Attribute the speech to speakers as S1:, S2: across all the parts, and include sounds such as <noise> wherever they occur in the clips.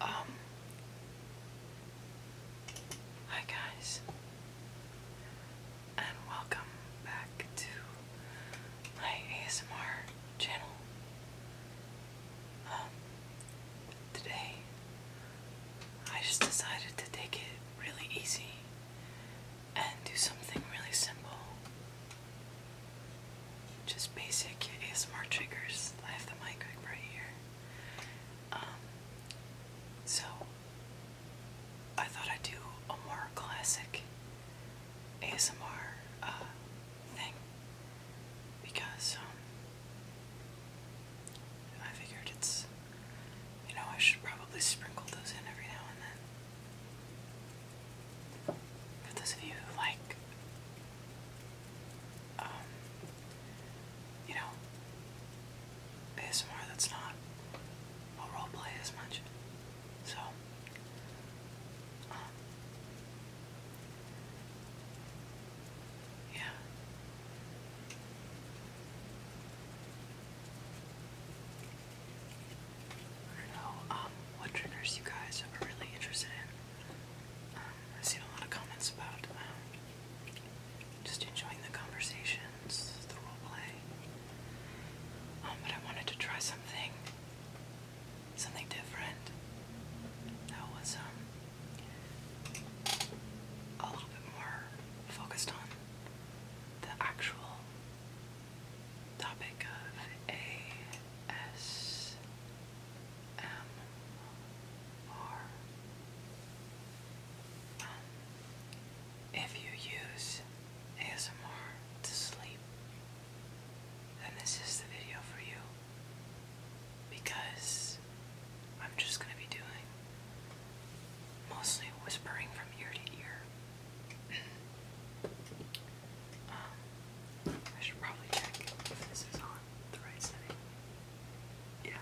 S1: Um, hi guys, and welcome back to my ASMR channel. Um, today I just decided to take it really easy and do something really simple just basic ASMR triggers. I have the mic right here. Um, so I thought I'd do a more classic ASMR uh, thing because um, I figured it's, you know, I should probably sprinkle those in every now and then. For those of you who like, um, you know, ASMR that's not a play as much. So, um, yeah. I don't know um, what triggers you guys are really interested in. Um, I've seen a lot of comments about um, just enjoying the conversations, the role play. but I wanted to try something, something different. That was a little bit more focused on the actual topic of ASMR. if you use ASMR to sleep, then this is the video for you because I'm just going to be doing mostly whispering from ear to ear. Um, I should probably check if this is on the right setting. Yeah.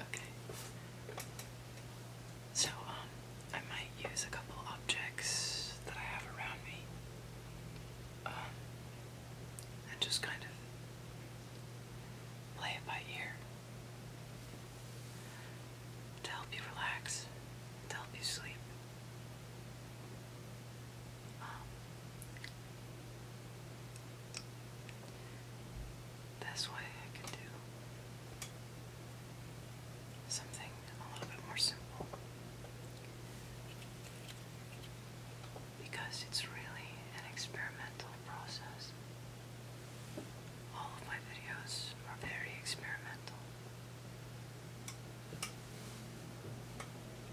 S1: Okay. So, um, I might use a couple objects that I have around me. Um, and just kind of play it by ear to help you relax, to help you sleep. Um, That's why I could do something a little bit more simple because it's really an experimental process. All of my videos are very experimental.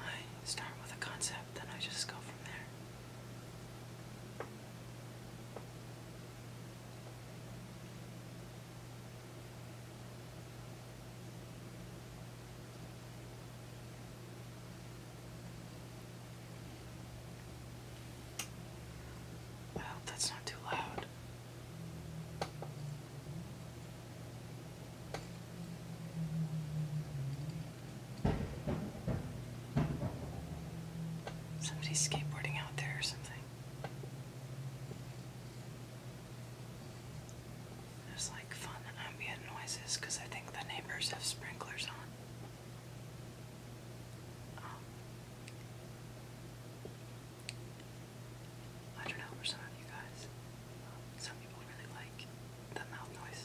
S1: I start with a concept, then I just go from there. I hope that's not too loud. Somebody's skateboarding out there or something. There's like fun ambient noises because I think the neighbors have sprinklers on. Um, I don't know for some of you guys. Some people really like the mouth noise.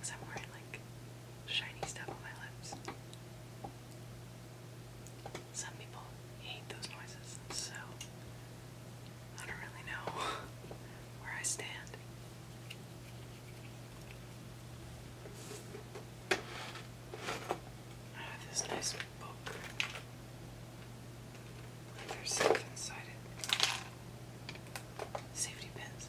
S1: Cause I'm wearing like shiny stuff on my lips. Some people hate those noises, so I don't really know <laughs> where I stand. Ah, this nice book. There's stuff inside it. Safety pins.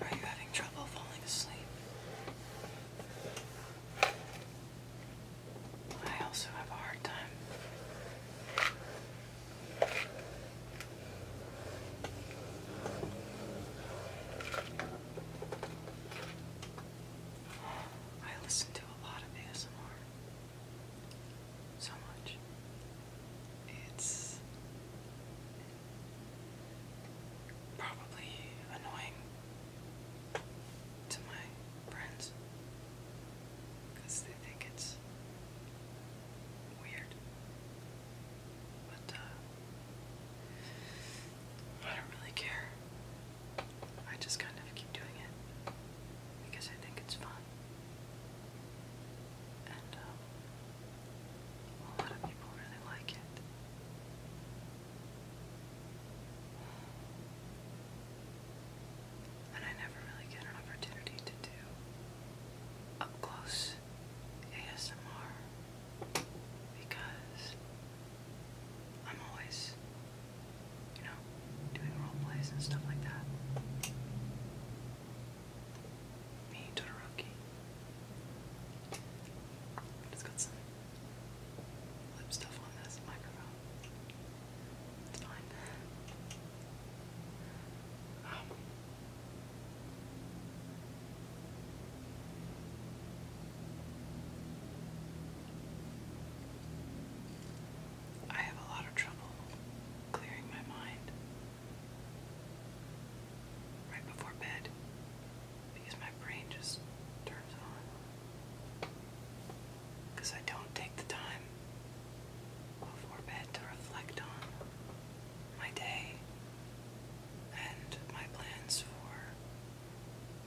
S1: Are you having trouble falling asleep? I also have a hard time. I listen to a lot of ASMR so much. It's probably annoying to my friends because they think it's weird. But, uh, I don't really care. I just kind of keep doing it because I think it's fun and um, a lot of people really like it. And I never really get an opportunity to do up close ASMR because I'm always you know, doing role plays and stuff like that. Me, Todoroki. it got some lip stuff on this microphone. It's fine. Um, I have a lot of trouble clearing my mind right before bed because my brain just turns on. Because I don't take the time before bed to reflect on my day and my plans for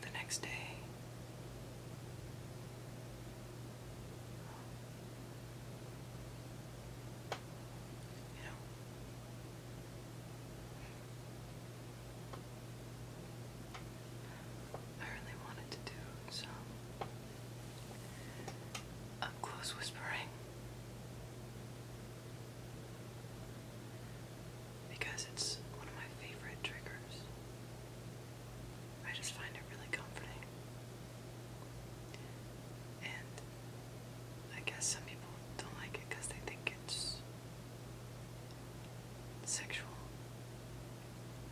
S1: the next day. I really wanted to do some up close whispering because it's one of my favorite triggers. I just find it really comforting. And I guess some people don't like it because they think it's sexual,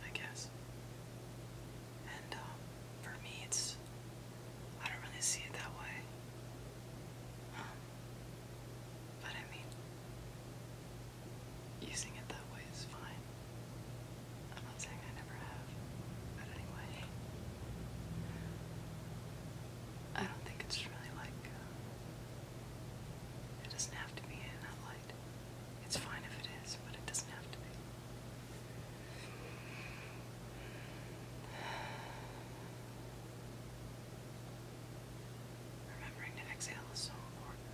S1: I guess. And um, for me, it's. I don't really see it that way. Um, but I mean, using it that way is fine. I'm not saying I never have, but anyway. I don't think it's really like. Uh, it doesn't have to be in that light. It's fine if it is, but it doesn't have to be. <sighs> Remembering to exhale is so important.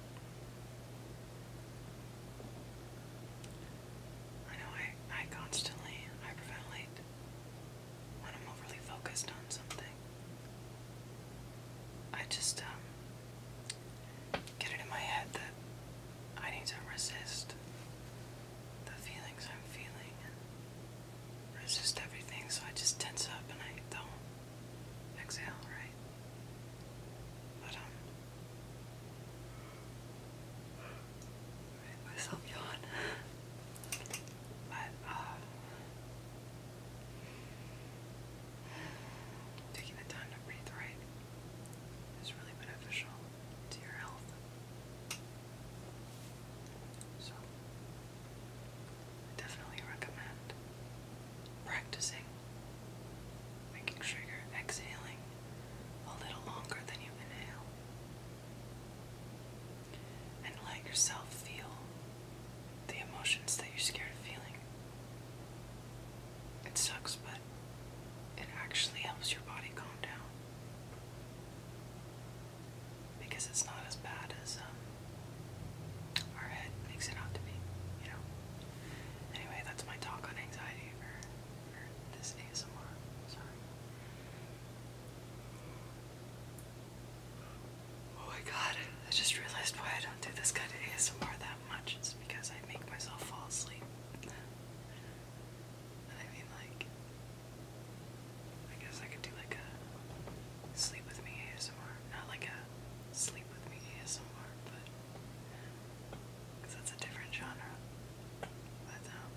S1: I know I, I constantly hyperventilate when I'm overly focused on something. I just um, get it in my head that I need to resist the feelings I'm feeling resist everything, so I just tense up and I don't exhale, right? But, I made myself yawn. But, taking the time to breathe right is really beneficial to your health. So, definitely recommend practicing, making sure you're exhaling a little longer than you inhale. And let yourself feel the emotions that you're scared of feeling. It sucks, but it actually helps your body calm down. Because it's not as bad as um, our head makes it out to be, you know? Anyway, that's my talk on anxiety or this ASMR. Sorry. Oh my god, I just realized why I don't do this kind of ASMR that much. It's because I make myself fall asleep. I mean, like, I guess I could do like a sleep with me ASMR. Not like a sleep with me ASMR, but because that's a different genre. Um,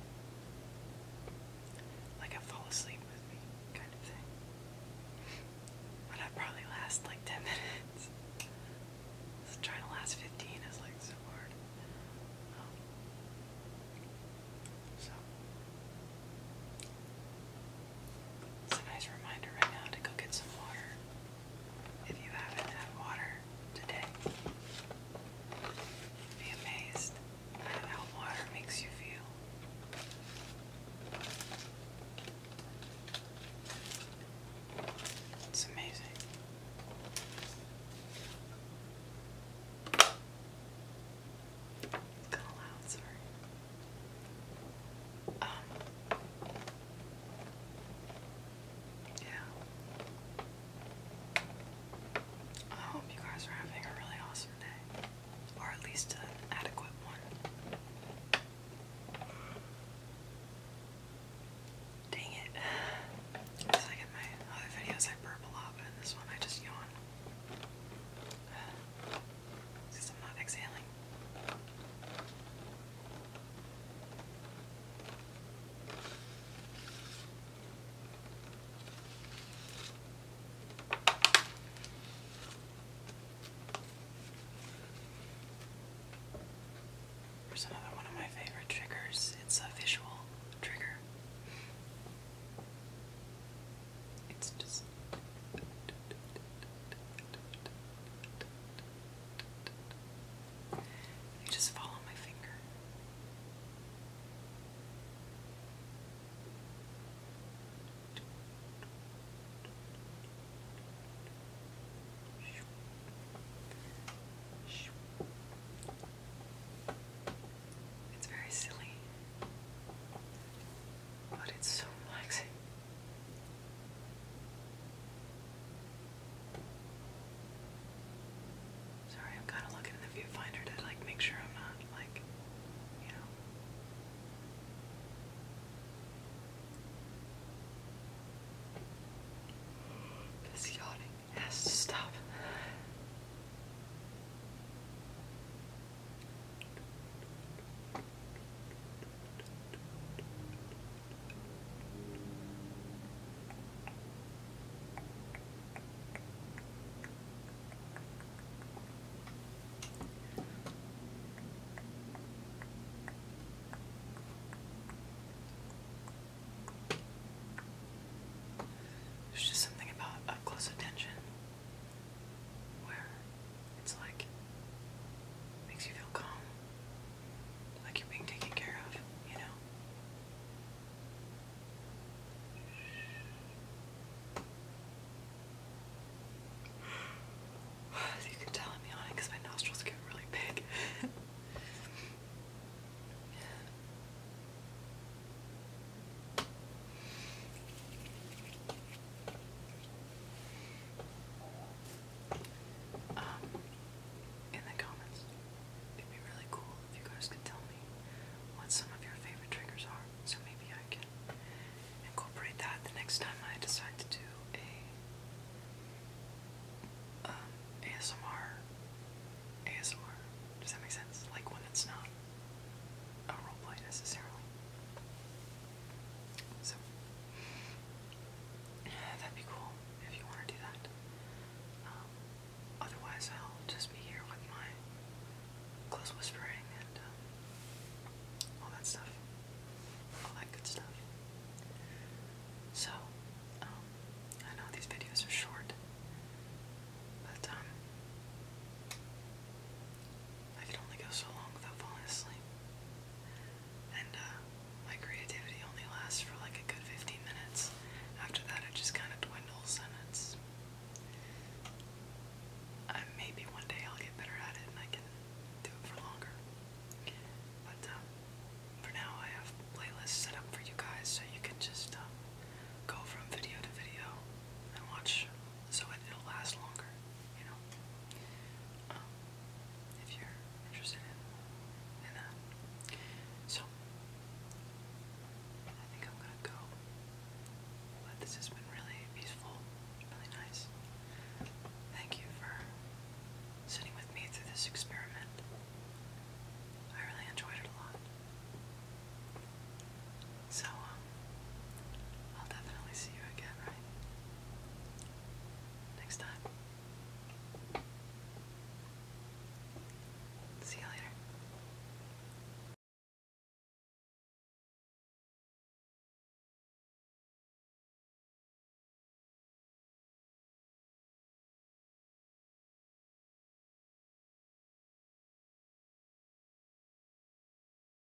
S1: like a fall asleep with me kind of thing. But I probably last like 10 <laughs> minutes. trying to last 15 is like so hard. Um, so, it's a nice reminder right now to go get some water if you haven't had water today. Be amazed at how water makes you feel. It's amazing. Call out, sorry. Um, yeah. I hope you guys are having a really awesome day, or at least an adequate one. Dang it. It's like in my other videos I burp a lot, but this one I just yawn. There's another one of my favorite triggers. It's a visual trigger. It's just you just follow my finger. It's very silly but it's so relaxing. Sorry, I'm kind of looking in the viewfinder to like make sure I'm not like, you know. This yawning has stop. There's just something about up close attention where it's like makes you feel calm, like you're being taken care of, you know. <sighs> you can tell, I'm yawning because my nostrils get really big. <laughs> Um, in the comments. It'd be really cool if you guys could tell me what some of your favorite triggers are, so maybe I can incorporate that the next time I decide to do a um, ASMR. ASMR. Does that make sense? Like when it's not a roleplay necessarily. So, <sighs> that'd be cool if you want to do that. Um, otherwise, I'll just be here with my close whispering and um, all that stuff. All that good stuff. So, um, I know these videos are short, but um, I can only go so long without falling asleep. And uh, my creativity only lasts for like a good 15 minutes. After that, it just kind of dwindles, and it's. Uh, maybe one day I'll get better at it and I can do it for longer. But uh, for now, I have playlists set up for you guys so you can just go from video to video and watch so it'll last longer, you know? Um, if you're interested in, that. So, I think I'm gonna go. But this has been really peaceful, really nice. Thank you for sitting with me through this experiment. I really enjoyed it a lot. So, um, I'll definitely see you again, right? Next time. See you later.